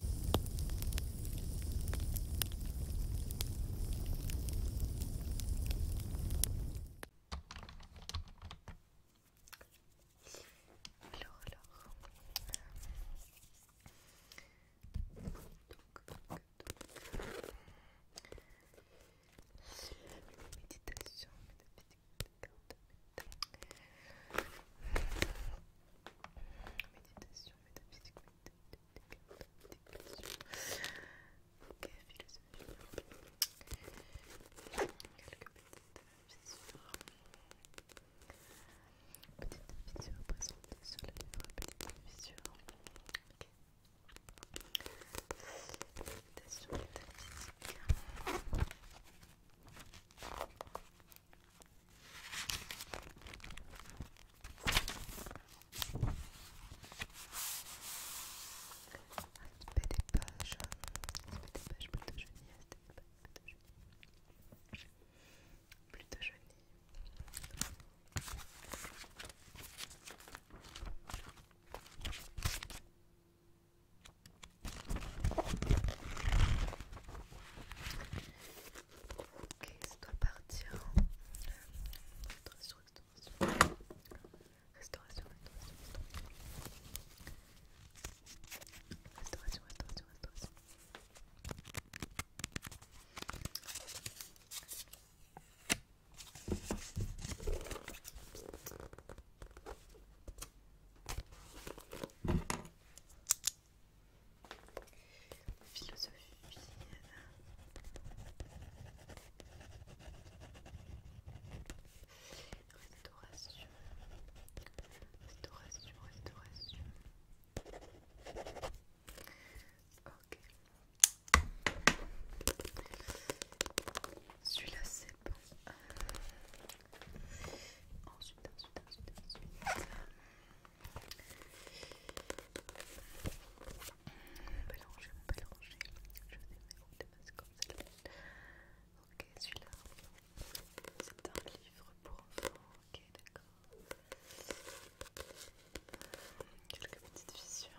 Alors, alors. Donc, donc, donc. Méditation, méditation, méditation méditation, métaphysique, dépression, ok, philosophie, quelques petites fissures, petites fissures présentées sur le livre, petites fissures, ok. Méditation métaphysique. Aspect des pages, des pages plutôt jolies, aspect des pages plutôt Plutôt Ok, c'est doit partir. Euh, restauration. Restauration, restauration, restauration. Restauration, restauration, restauration philosophie restauration restauration restauration celui-là c'est bon euh, ensuite ensuite ensuite on peut Je vais le mettre comme ça. Ok, celui-là. C'est un livre pour enfants. Ok, d'accord. Quelques petites fissures.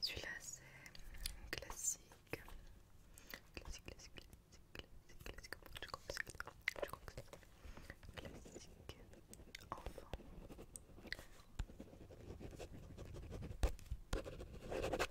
Celui-là c'est classique. Classique, classique, classique, classique, classique, classique, classique, enfant. Classique, classique.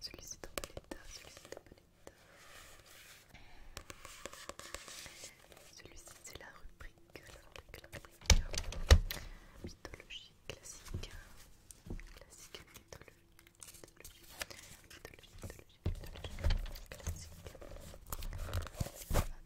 Celui-ci est celui-ci est c'est la rubrique, mythologie classique, classique mythologie, classique.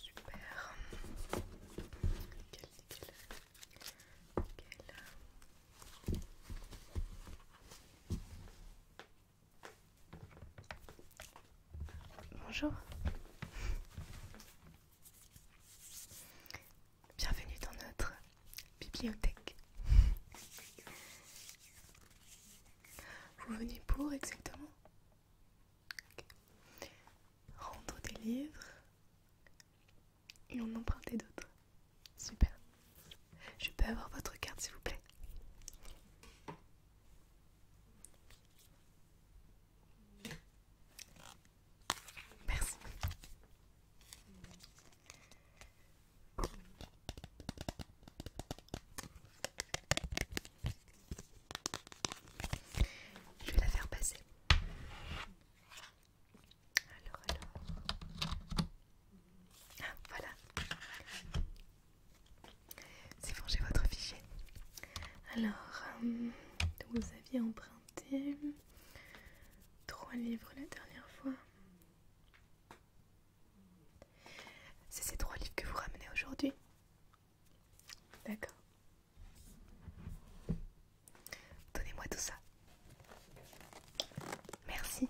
Super. Bonjour. Bienvenue dans notre bibliothèque. Vous venez pour exactement Rendre des livres et en emprunter d'autres. Super. Je peux avoir votre carte s'il vous plaît Merci. Je vais la faire passer. Alors, alors. Ah, voilà. C'est bon, j'ai votre fichier. Alors, euh, vous aviez emprunté trois livres la dernière fois. C'est ces trois livres que vous ramenez aujourd'hui D'accord. Donnez-moi tout ça. Merci.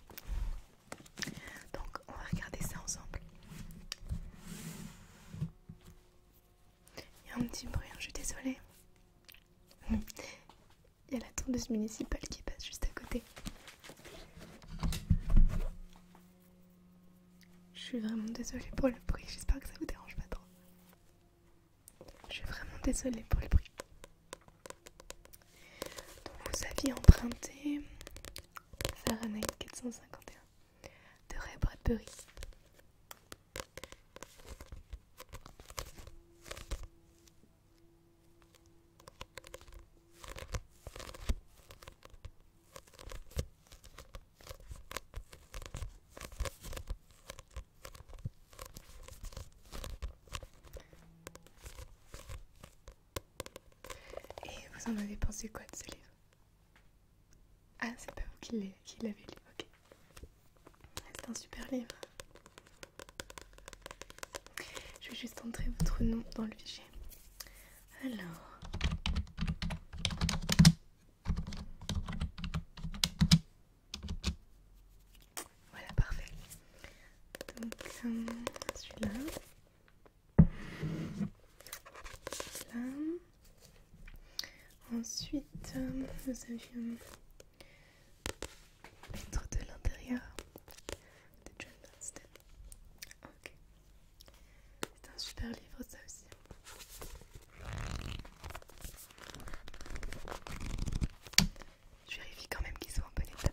Donc, on va regarder ça ensemble. Il y a un petit bruit, hein, je suis désolée. Il y a la tondeuse municipale qui passe juste à côté. Je suis vraiment désolée pour le bruit, j'espère que ça vous dérange pas trop. Je suis vraiment désolée pour le bruit. Donc vous aviez emprunté Fahrenheit 451 de Ray Bradbury. Et vous en avez pensé quoi de ce livre Ah, c'est pas vous qui l'avez lu, ok. C'est un super livre. Je vais juste entrer votre nom dans le fichier. Alors. Voilà, parfait. Donc, euh, celui-là. Là. Ensuite, euh, nous avions l'être de l'intérieur de John Ok. C'est un super livre ça aussi. Je vérifie quand même qu'ils sont en bon état.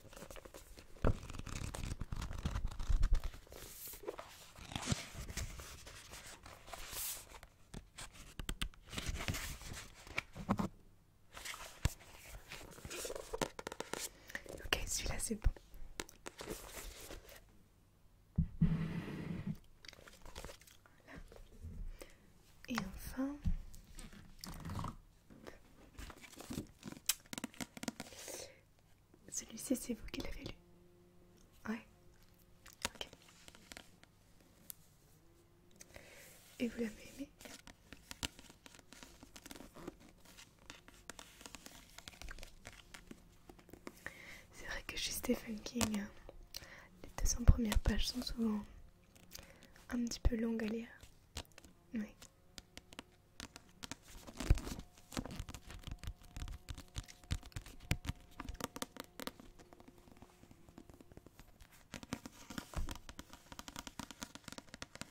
Ok, celui-là c'est bon. Et enfin, celui-ci, c'est vous qui l'avez lu. Ouais. Ok. Et vous l'avez aimé c'est vrai que chez Stephen King, les cents premières pages sont souvent un petit peu longues à lire.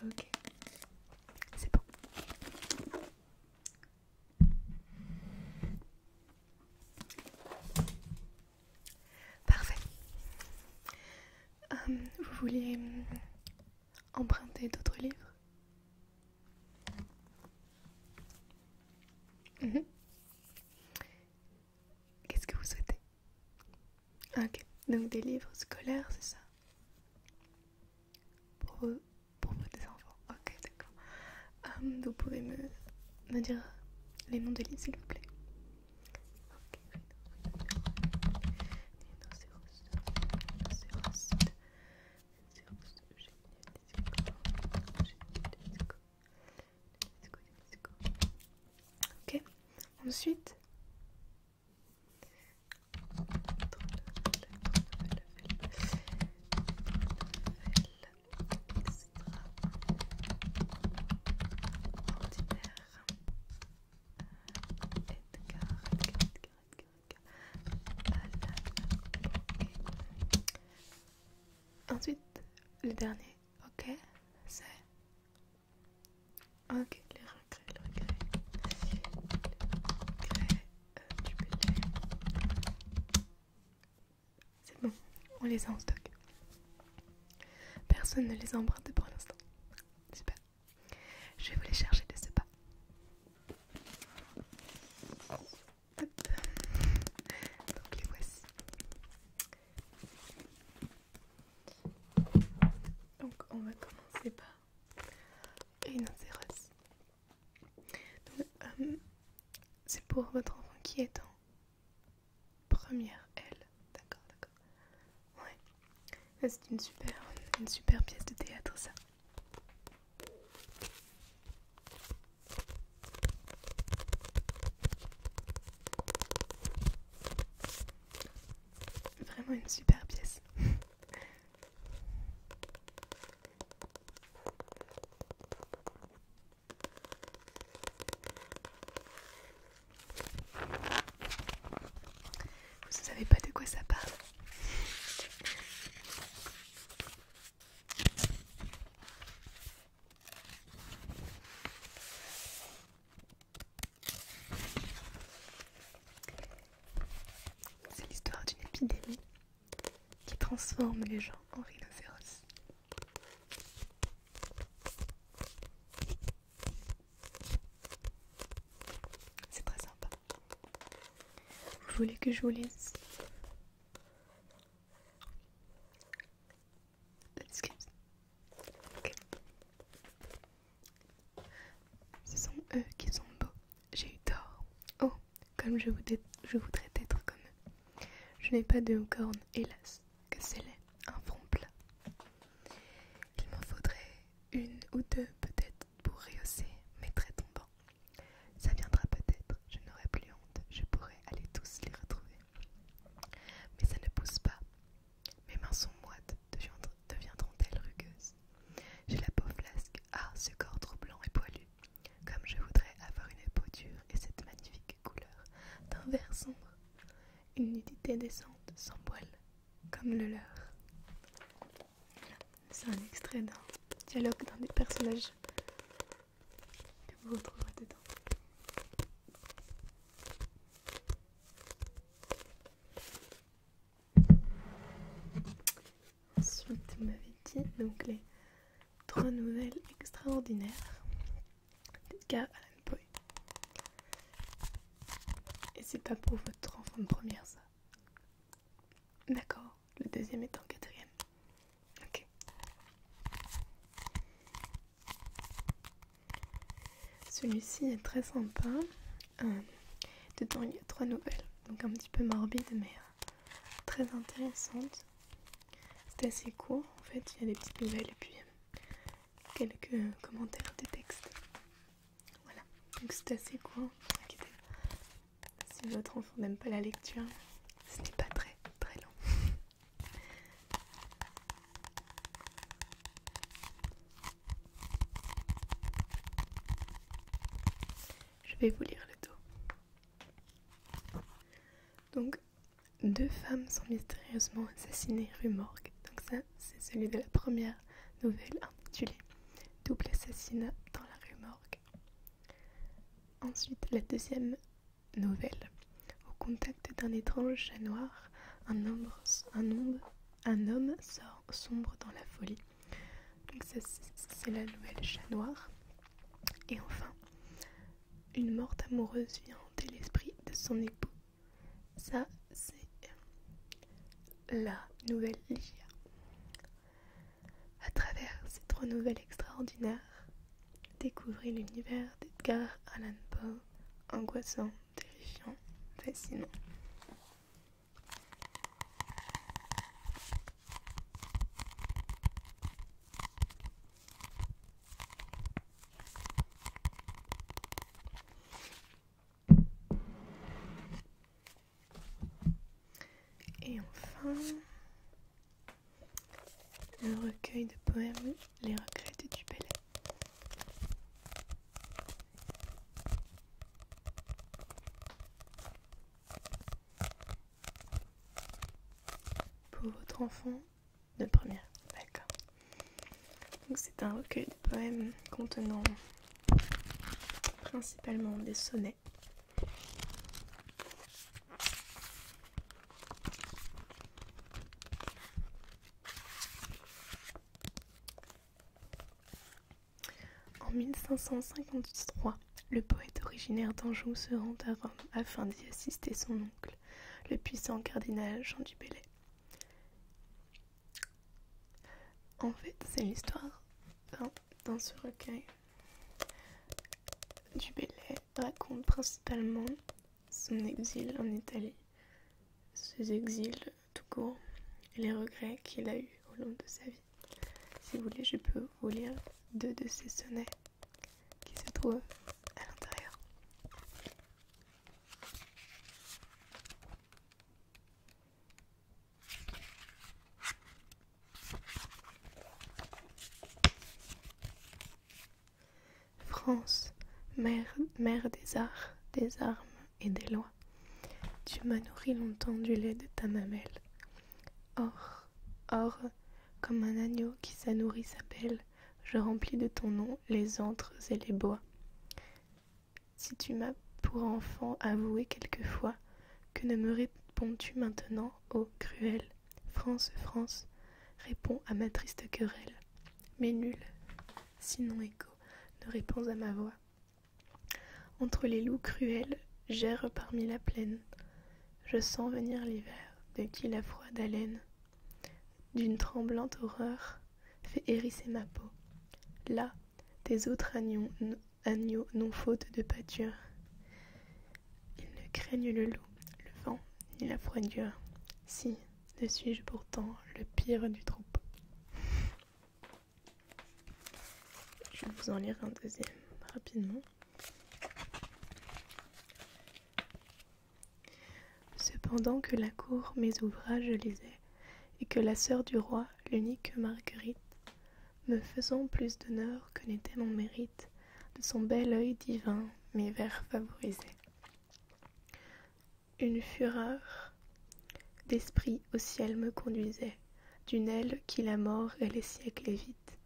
Ok, c'est bon. Parfait. Hum, vous voulez hum, emprunter d'autres livres mhm. Qu'est-ce que vous souhaitez Ok, donc des livres scolaires, c'est ça pour vos, pour enfants. Ok, d'accord. Hum, vous pouvez me, me dire les noms des livres, s'il vous plaît. Ok, ensuite. Ensuite, le dernier, ok, c'est Ok, les regrets, les regrets. regrets euh, C'est bon, on les a en stock. Personne ne les a pour l'instant. Super. Je vais vous les chercher de ce pas. Donc les voici. Donc on va commencer par une c'est Euh, C'est pour votre enfant qui est en première L. D'accord, d'accord. Ouais. C'est une super, une super pièce de théâtre ça. Vraiment une super pièce. Vous ne savez pas de quoi ça parle. C'est l'histoire d'une épidémie qui transforme les gens en rhinocéros. C'est très sympa. Vous voulez que je vous lise ce sont eux qui sont beaux. J'ai eu tort. Oh, comme je, voudrais, être comme eux. Je n'ai pas de cornes, hélas, que c'est laid, un front plat. Il m'en faudrait une ou deux peut-être pour rehausser mes traits tombants. Ça viendra peut-être, je n'aurai plus honte, je pourrai aller tous les retrouver. Mais ça ne pousse pas, mes mains sont moites, deviendront-elles rugueuses J'ai la peau flasque, ah ce corps trop blanc et poilu Comme je voudrais avoir une peau dure et cette magnifique couleur d'un vert sombre Une nudité décente, sans poil, comme le leur C'est un extrait d'un dialogue d'un des personnages que vous retrouverez dedans Ensuite, vous m'avez dit donc les trois nouvelles extraordinaires gars Poe. Et c'est pas pour votre enfant de première, ça D'accord, le deuxième est en quatrième. Ok. Celui-ci est très sympa. Euh, dedans, il y a trois nouvelles, donc un petit peu morbide, mais euh, très intéressante. C'est assez court, en fait, il y a des petites nouvelles et puis euh, quelques commentaires de textes. Voilà, donc c'est assez court, Si votre enfant n'aime pas la lecture, ce n'est pas très très long. Je vais vous lire le dos. Donc, deux femmes sont mystérieusement assassinées rue Morgue. Donc ça, c'est celui de la première nouvelle intitulée Double assassinat dans la rue Morgue. Ensuite, la deuxième nouvelle. Au contact d'un étrange chat noir, un homme, sort sombre dans la folie. Donc ça, c'est la nouvelle chat noir. Et enfin, une morte amoureuse vient hanter l'esprit de son époux. Ça, c'est la nouvelle Lygia. À travers ces trois nouvelles extraordinaires, Découvrez l'univers d'Edgar Allan Poe, angoissant, terrifiant, fascinant. Et enfin, le recueil de poèmes Les regrets du palais Pour votre enfant de première, d'accord. Donc c'est un recueil de poèmes contenant principalement des sonnets en 1553, le poète originaire d'Anjou se rend à Rome afin d'y assister son oncle, le puissant cardinal Jean du Bellay. En fait, c'est l'histoire dans, ce recueil du Bellay raconte principalement son exil en Italie, ses exils tout court et les regrets qu'il a eu au long de sa vie. Si vous voulez, je peux vous lire deux de ses sonnets qui se trouvent à l'intérieur. France, mère, des arts, des armes et des lois, tu m'as nourri longtemps du lait de ta mamelle. Or, or, comme un agneau qui sa nourrice je remplis de ton nom les antres et les bois. Si tu m'as pour enfant avoué quelquefois, que ne me réponds-tu maintenant, ô cruel France, France, réponds à ma triste querelle. Mais nul, sinon écho, ne réponds à ma voix. Entre les loups cruels, j'erre parmi la plaine. Je sens venir l'hiver, de qui la froide haleine d'une tremblante horreur fait hérisser ma peau. Là, des autres agneaux, non faute de pâture. Ils ne craignent le loup, le vent, ni la froidure. Si, ne suis-je pourtant le pire du troupeau Je vais vous en lire un deuxième rapidement. Cependant que la cour mes ouvrages lisait, et que la sœur du roi, l'unique Marguerite, me faisant plus d'honneur que n'était mon mérite, de son bel œil divin mes vers favorisaient. Une fureur d'esprit au ciel me conduisait, d'une aile qui la mort et les siècles évite,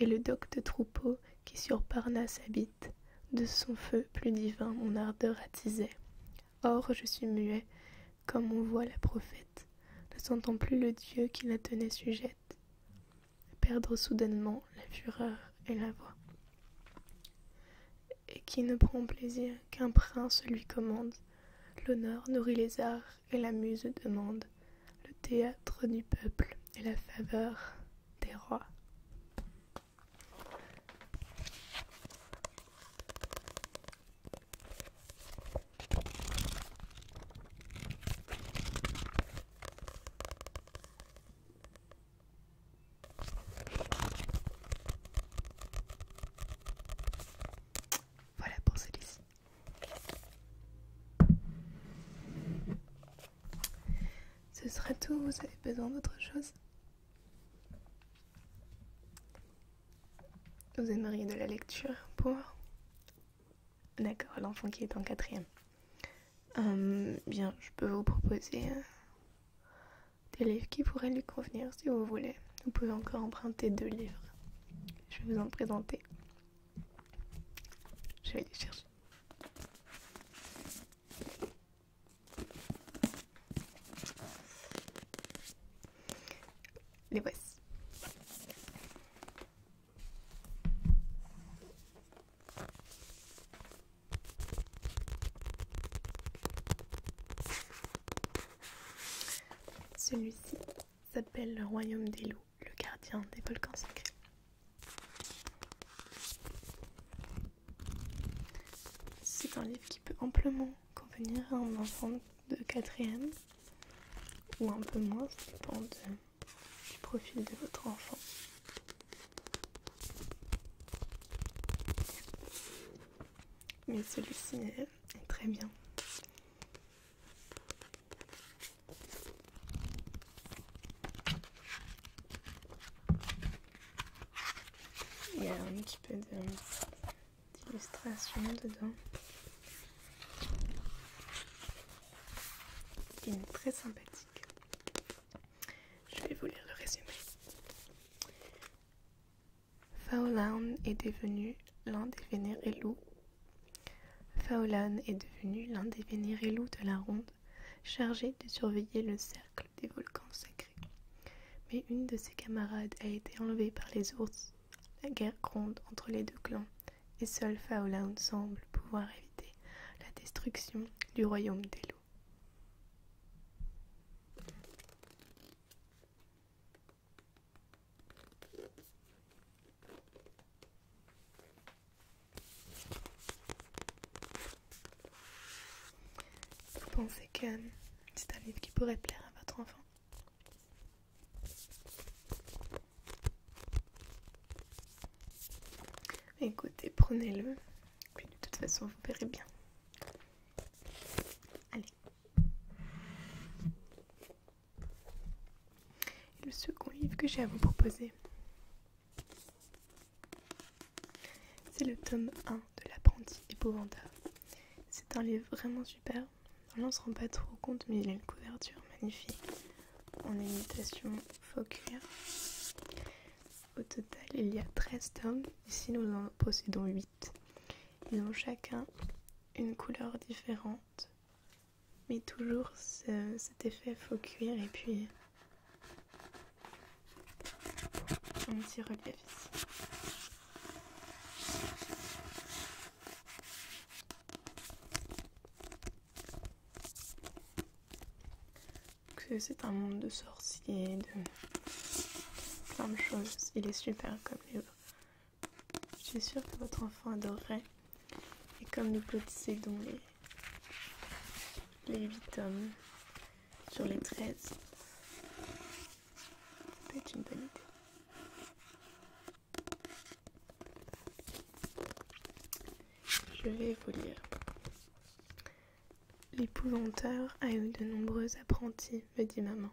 et le docte troupeau qui sur Parnasse habite, de son feu plus divin mon ardeur attisait. Or je suis muet, comme on voit la prophète, ne sentant plus le Dieu qui la tenait sujette perdre soudainement la fureur et la voix, et qui ne prend plaisir qu'un prince lui commande, l'honneur nourrit les arts et la muse demande, le théâtre du peuple et la faveur des rois. Voilà pour celui-ci. Ce sera tout, vous avez besoin d'autre chose Vous aimeriez de la lecture pour D'accord, l'enfant qui est en quatrième. Euh, bien, je peux vous proposer euh, des livres qui pourraient lui convenir si vous voulez. Vous pouvez encore emprunter deux livres. Je vais vous en présenter. Je vais les chercher. Les voici. Celui-ci s'appelle le royaume des loups, le gardien des volcans sacrés. C'est un livre qui peut amplement convenir à un enfant de quatrième ou un peu moins, ça du profil de votre enfant. Mais celui-ci est très bien. Il y a un petit peu d'illustration dedans. Il est très sympathique. Je vais vous lire le résumé. Faolan est devenu l'un des vénérés Faolan est devenu l'un des vénérés de la ronde, chargé de surveiller le cercle des volcans sacrés. Mais une de ses camarades a été enlevée par les ours. La guerre gronde entre les deux clans et seul Faolan semble pouvoir éviter la destruction du royaume des loups. Vous pensez que c'est un livre qui pourrait plaire à votre enfant Écoutez, prenez-le. Puis de toute façon, vous verrez bien. Allez. le second livre que j'ai à vous proposer, c'est le tome 1 de l'apprenti épouvanta. C'est un livre vraiment super. On ne se rend pas trop compte, mais il a une couverture magnifique en imitation faux cuir. Au total, il y a 13 tomes, ici nous en possédons 8. Ils ont chacun une couleur différente, mais toujours cet effet faux cuir et puis un petit relief ici. C'est un monde de sorciers, de plein de choses. Il est super comme autres. Je suis sûre que votre enfant adorerait. Et comme nous dont les, les 8 tomes sur les 13, ça peut être une bonne idée. Je vais vous lire. L'épouvanteur a eu de nombreux apprentis, me dit maman.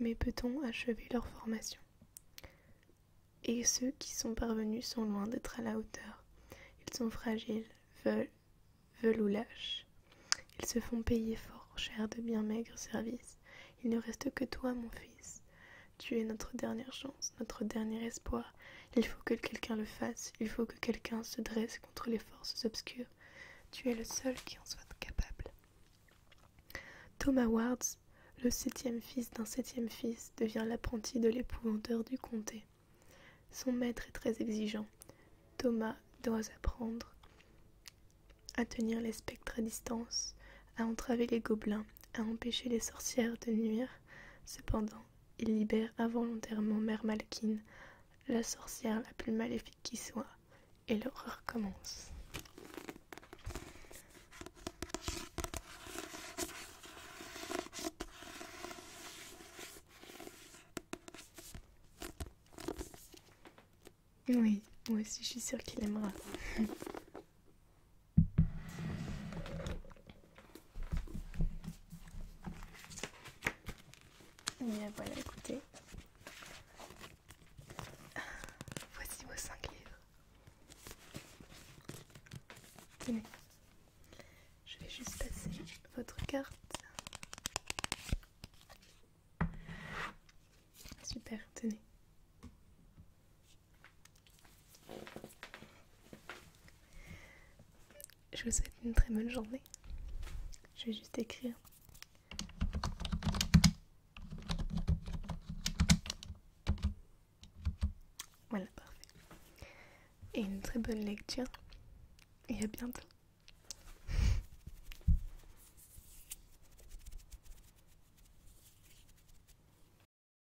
Mais peut-on achever leur formation Et ceux qui sont parvenus sont loin d'être à la hauteur. Ils sont fragiles, veulent, veulent ou lâchent. Ils se font payer fort cher de bien maigres services. Il ne reste que toi, mon fils. Tu es notre dernière chance, notre dernier espoir. Il faut que quelqu'un le fasse, il faut que quelqu'un se dresse contre les forces obscures. Tu es le seul qui en soit capable. Thomas Wards, le septième fils d'un septième fils, devient l'apprenti de l'épouvanteur du comté. Son maître est très exigeant. Thomas doit apprendre à tenir les spectres à distance, à entraver les gobelins, à empêcher les sorcières de nuire. Cependant, il libère involontairement Mère Malkin, la sorcière la plus maléfique qui soit, et l'horreur commence. Oui, moi aussi je suis sûre qu'il aimera. bien voilà, écoutez. Voici vos 5 livres. Tenez. Je vais juste passer votre carte. Super, tenez. Je vous souhaite une très bonne journée. Je vais juste écrire. Voilà, parfait. Et une très bonne lecture. Et à bientôt.